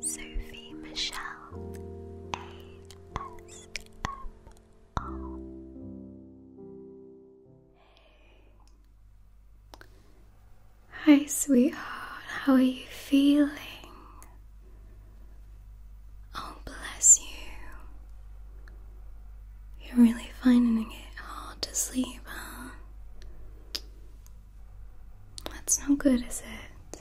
Sophie Michelle ASMR. Hi, sweetheart, how are you feeling? Oh, bless you. You're really finding it hard to sleep, huh? That's no good, is it?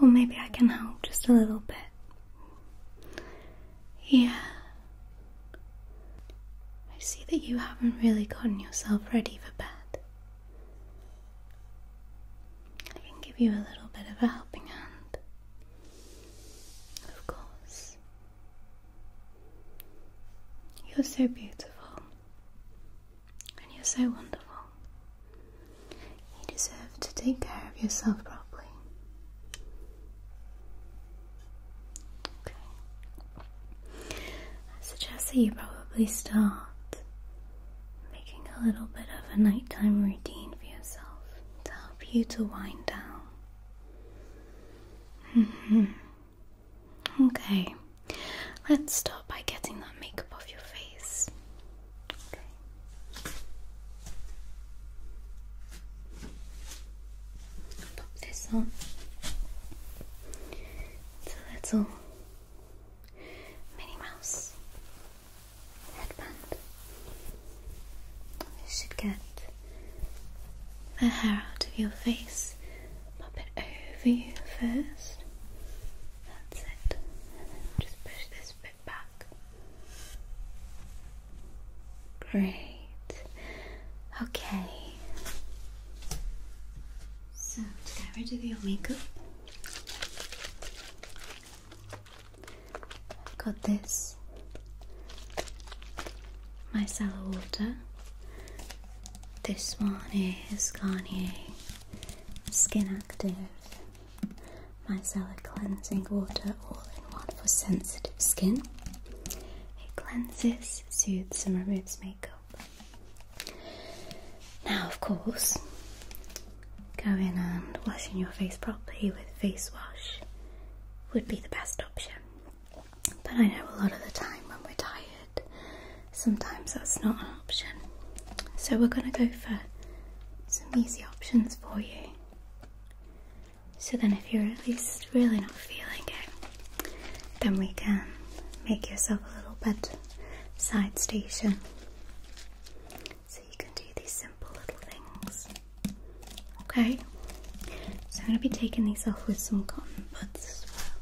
Well, maybe I can help just a little bit. Yeah. I see that you haven't really gotten yourself ready for bed. I can give you a little bit of a helping hand. Of course. You're so beautiful. And you're so wonderful. You deserve to take care of yourself properly. Okay. I suggest that you probably start making a little bit of a nighttime routine for yourself to help you to wind down. Mm-hmm. Okay, let's start by getting that makeup off your face. Okay. Pop this on. little Minnie Mouse headband. You should get the hair out of your face pop it over you first. That's it. just push this bit back. Great. Okay. So to get rid of your makeup, I've got this My micellar water. This one is Garnier Skin Active Micellar Cleansing Water All in One for Sensitive Skin. It cleanses, soothes, and removes makeup. Now, of course, going and washing your face properly with face wash would be the best option. But I know a lot of the time when we're tired, sometimes that's not an option. So we're going to go for some easy options for you. So then, if you're at least really not feeling it, then we can make yourself a little bed side station. So you can do these simple little things. Okay? So I'm going to be taking these off with some cotton buds as well.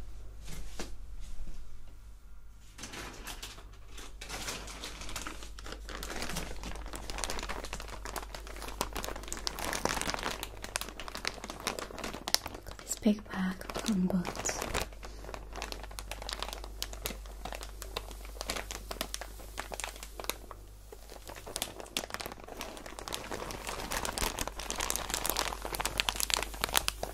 Got this big bag of plum buds. And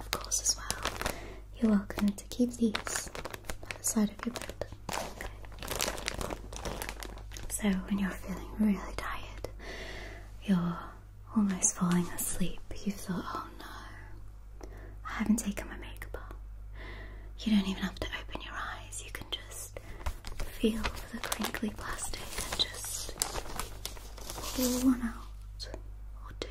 of course, as well, you're welcome to keep these by the side of your bed. So, when you're feeling really tired, you're almost falling asleep, you thought, oh no, I haven't taken my makeup off. You don't even have to open your eyes, you can just feel the crinkly plastic and just pull one out or two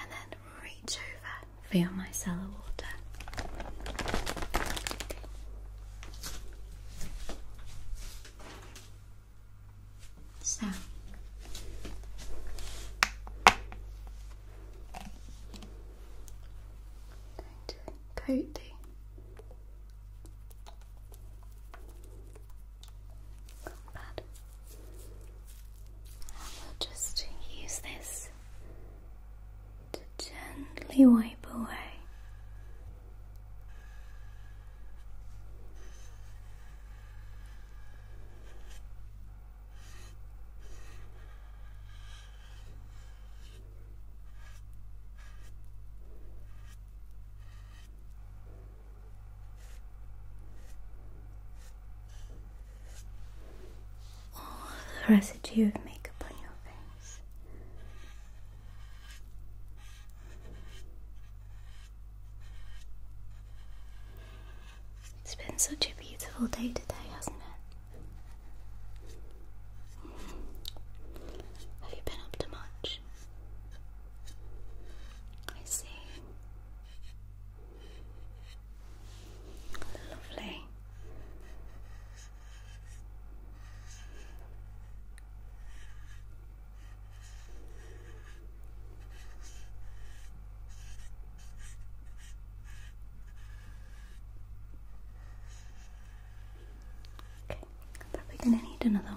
and then reach over feel my micellar water. So I'm coat the pad. we'll just use this to gently wipe away all the residue of makeup on your face. It's been such a beautiful day today, hasn't it? Have you been up to much? I see. Lovely. Okay, probably going to need another one.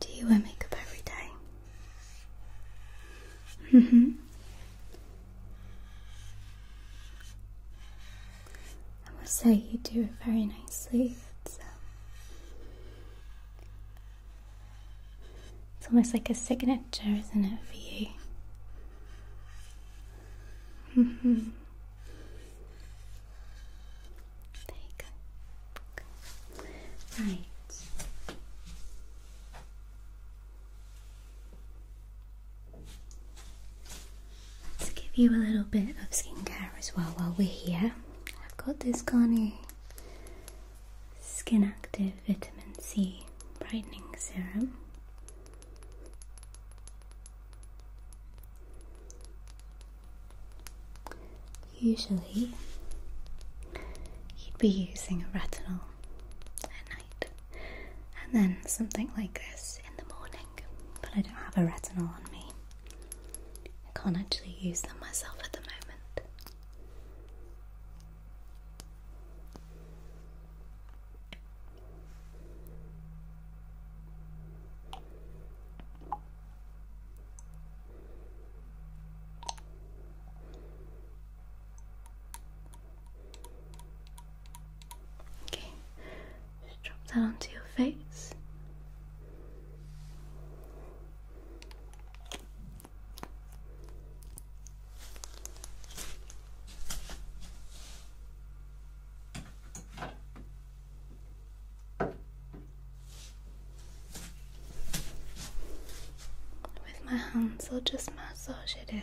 Do you wear makeup every day? Mm hmm. I must say, you do it very nicely. It's, um, almost like a signature, isn't it, for you? Mm-hmm. Right. Let's give you a little bit of skincare as well while we're here. I've got this Garnier Skin Active Vitamin C Brightening Serum. Usually, you'd be using a retinol and then something like this in the morning. But I don't have a retinol on me, I can't actually use them myself at the moment. Okay, just drop that onto your face. With my hands, I'll just massage it in.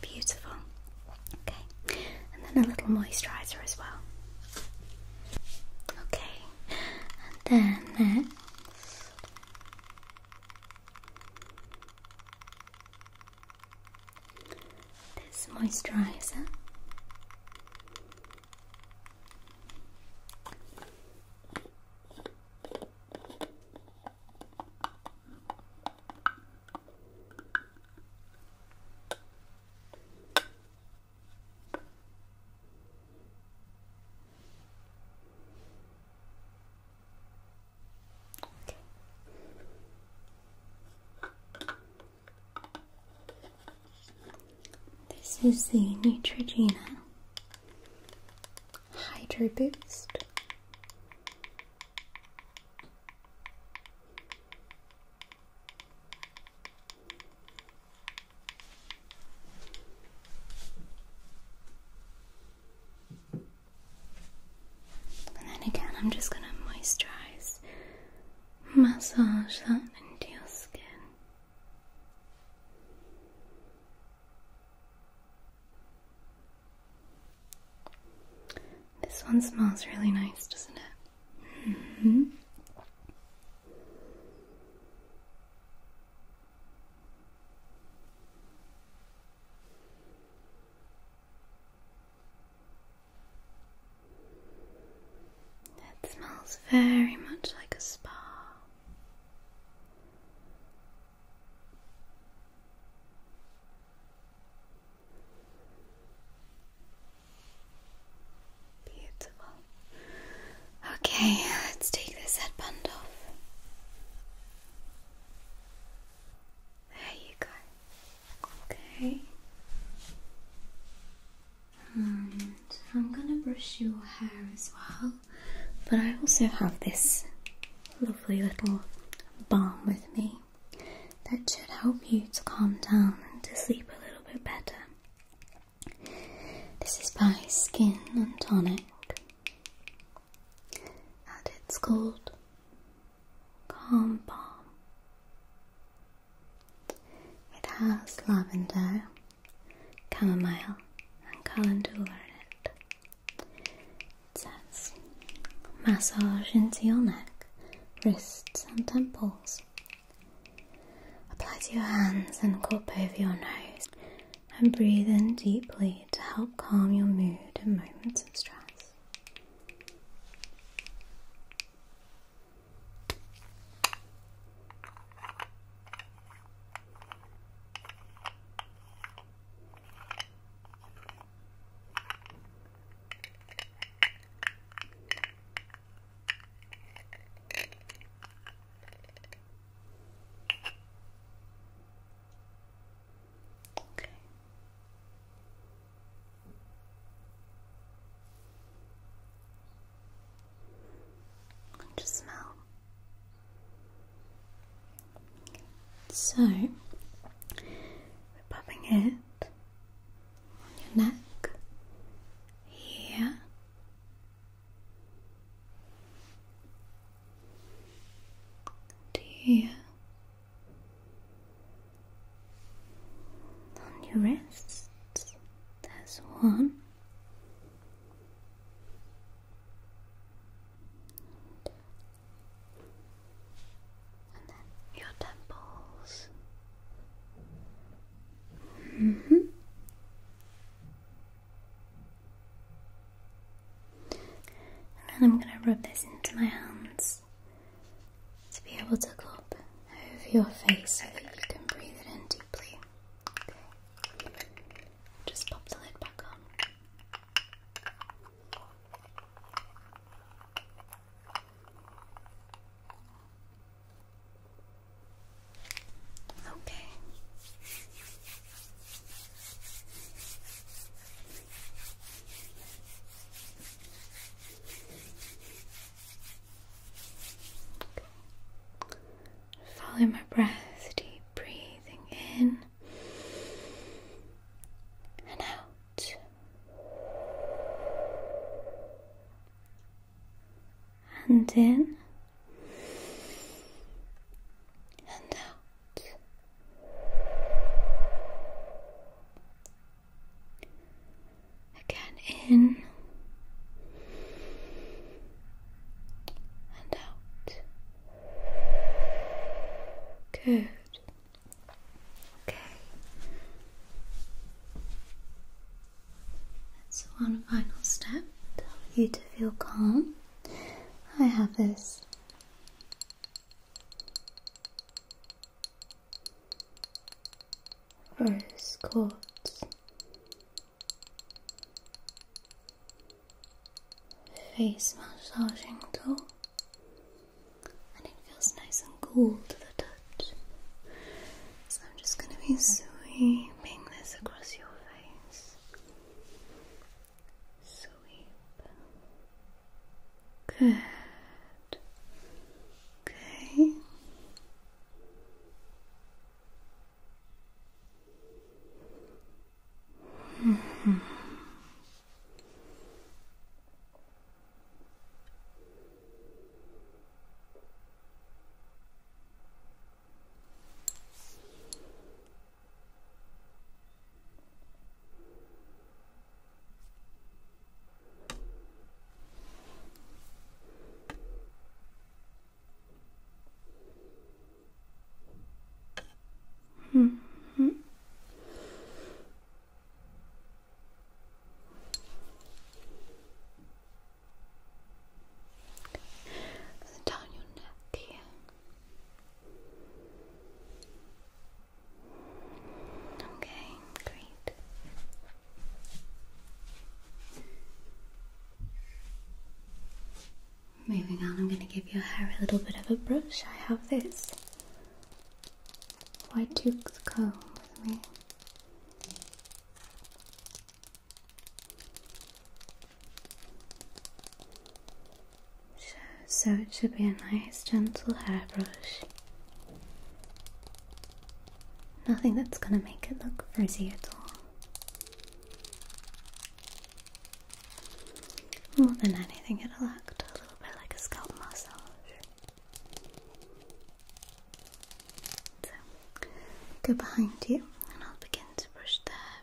Beautiful. Okay, and then a little moisturizer as well. Okay, and then next, this moisturizer this is the Neutrogena Hydro Boost. And then again, I'm just going to moisturize, massage that into your skin. This one smells really nice, doesn't it? Mm-hmm. That smells very much like a spa. Beautiful. Okay, let's take this headband off. There you go. Okay. And I'm gonna brush your hair as well, but I also have this lovely little balm with me that should help you to calm down and to sleep a little bit better. This is by Skin and Tonic and it's called Calm Balm. It has lavender, chamomile, and calendula in it. says massage into your neck, wrists, and temples. Apply to your hands and cup over your nose and breathe in deeply to help calm your mood in moments of stress. Okay. just smell. So we're popping it on your neck, here, to here on your wrists. There's one. And then your temples. -hmm. And then I'm going to rub this into my hands to be able to go over your face so that you can breathe it in deeply. Just pop the lid back on. Okay. Follow my breath, deep breathing in and out. And in and out. Again, in and out. Good. Okay. That's one final step to help you to feel calm. I have this. Rose quartz face massaging tool, and it feels nice and cool to the touch. So I'm just going to be sweeping this across your face Sweep. Good. Okay. Hmm. Mm -hmm. Down your neck here. Okay, great. Moving on, I'm going to give your hair a little bit of a brush. I have this white tooth comb with me. So it should be a nice gentle hairbrush. Nothing that's going to make it look frizzy at all. More than anything, it'll act a little bit like a scalp massage. So, go behind you and I'll begin to brush the hair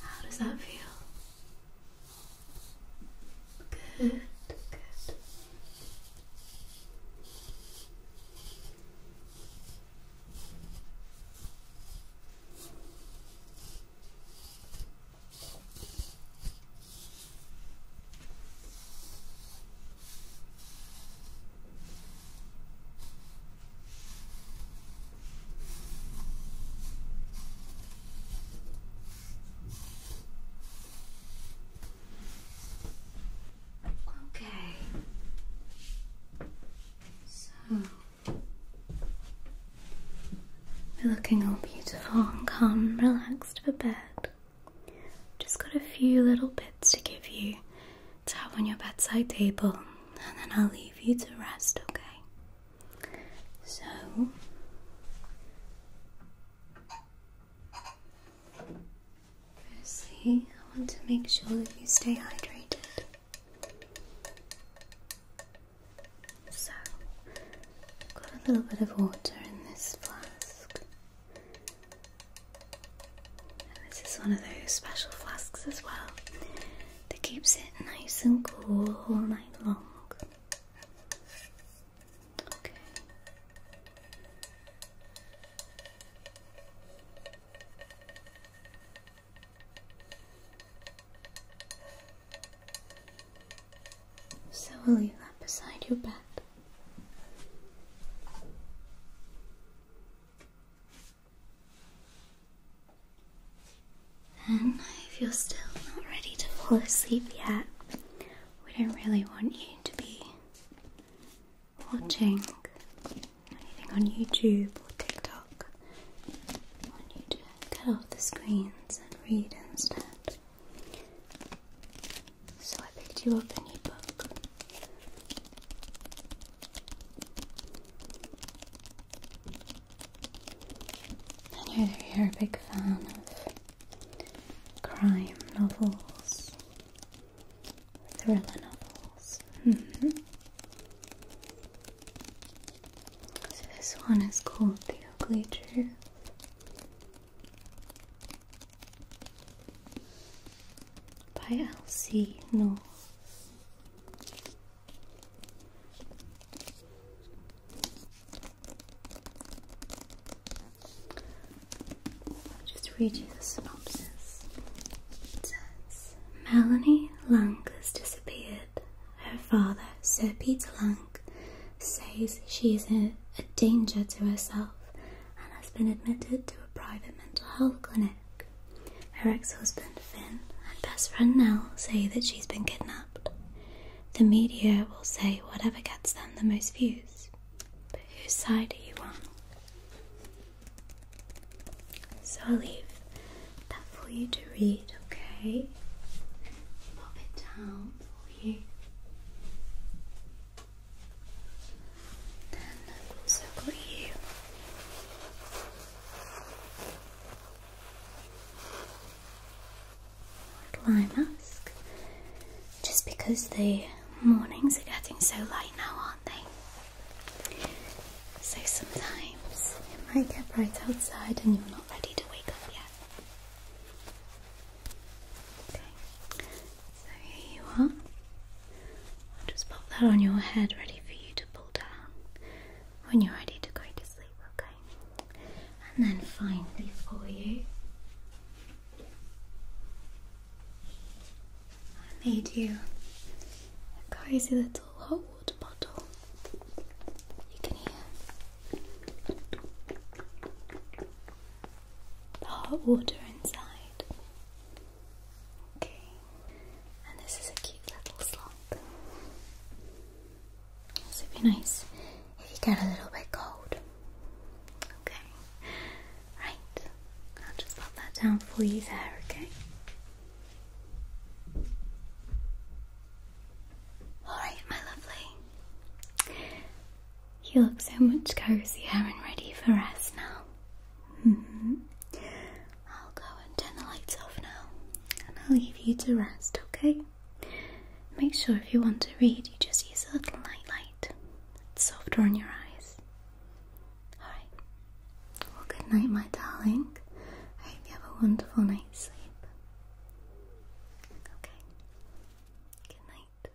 How does that feel? Good, good. Okay. So we're looking all beautiful and calm and relaxed for bed. Just got a few little bits to give you to have on your bedside table, and then I'll leave you to rest, okay? So, firstly, I want to make sure that you stay hydrated. So, I've got a little bit of water in this flask this is one of those special flasks as well that keeps it nice and cool all night long. Okay. So we'll leave that beside your bed. And if you're still not ready to fall asleep yet, we don't really want you to be watching anything on YouTube or TikTok. We off the screens and read instead. So I picked you up a new book. I know you're a big fan of crime novels, thriller novels. Mm-hmm. So this one is called The Ugly Truth by Elsie North. I'll just read you the synopsis. says Melanie Lang disappeared. Her father, Sir Peter Lang, says she is a danger to herself and has been admitted to a private mental health clinic. Her ex husband Finn and best friend Nell say that she's been kidnapped. The media will say whatever gets them the most views. But whose side are you on? So I'll leave that for you to read, okay? Pop it down for you. Then I've also got you. eye mask. Just because the mornings are getting so light now, aren't they? So sometimes it might get bright outside and you're not ready to wake up yet. Okay. So here you are. I'll just pop that on your head, ready for you to pull down when you're ready to go to sleep, okay? And then finally for you, I made you a crazy little hot water bottle. You can hear the hot water inside. Okay, and this is a cute little slump. This would be nice if you get a little bit cold. Okay, right, I'll just pop that down for you there, okay? Alright, my lovely. You look so much cozier and ready for us now. Mm-hmm. I'll go and turn the lights off now and I'll leave you to rest, okay? Make sure if you want to read, you just use a little nightlight. It's softer on your eyes. Alright. Well, good night, my darling. I hope you have a wonderful night's sleep. Okay. Good night.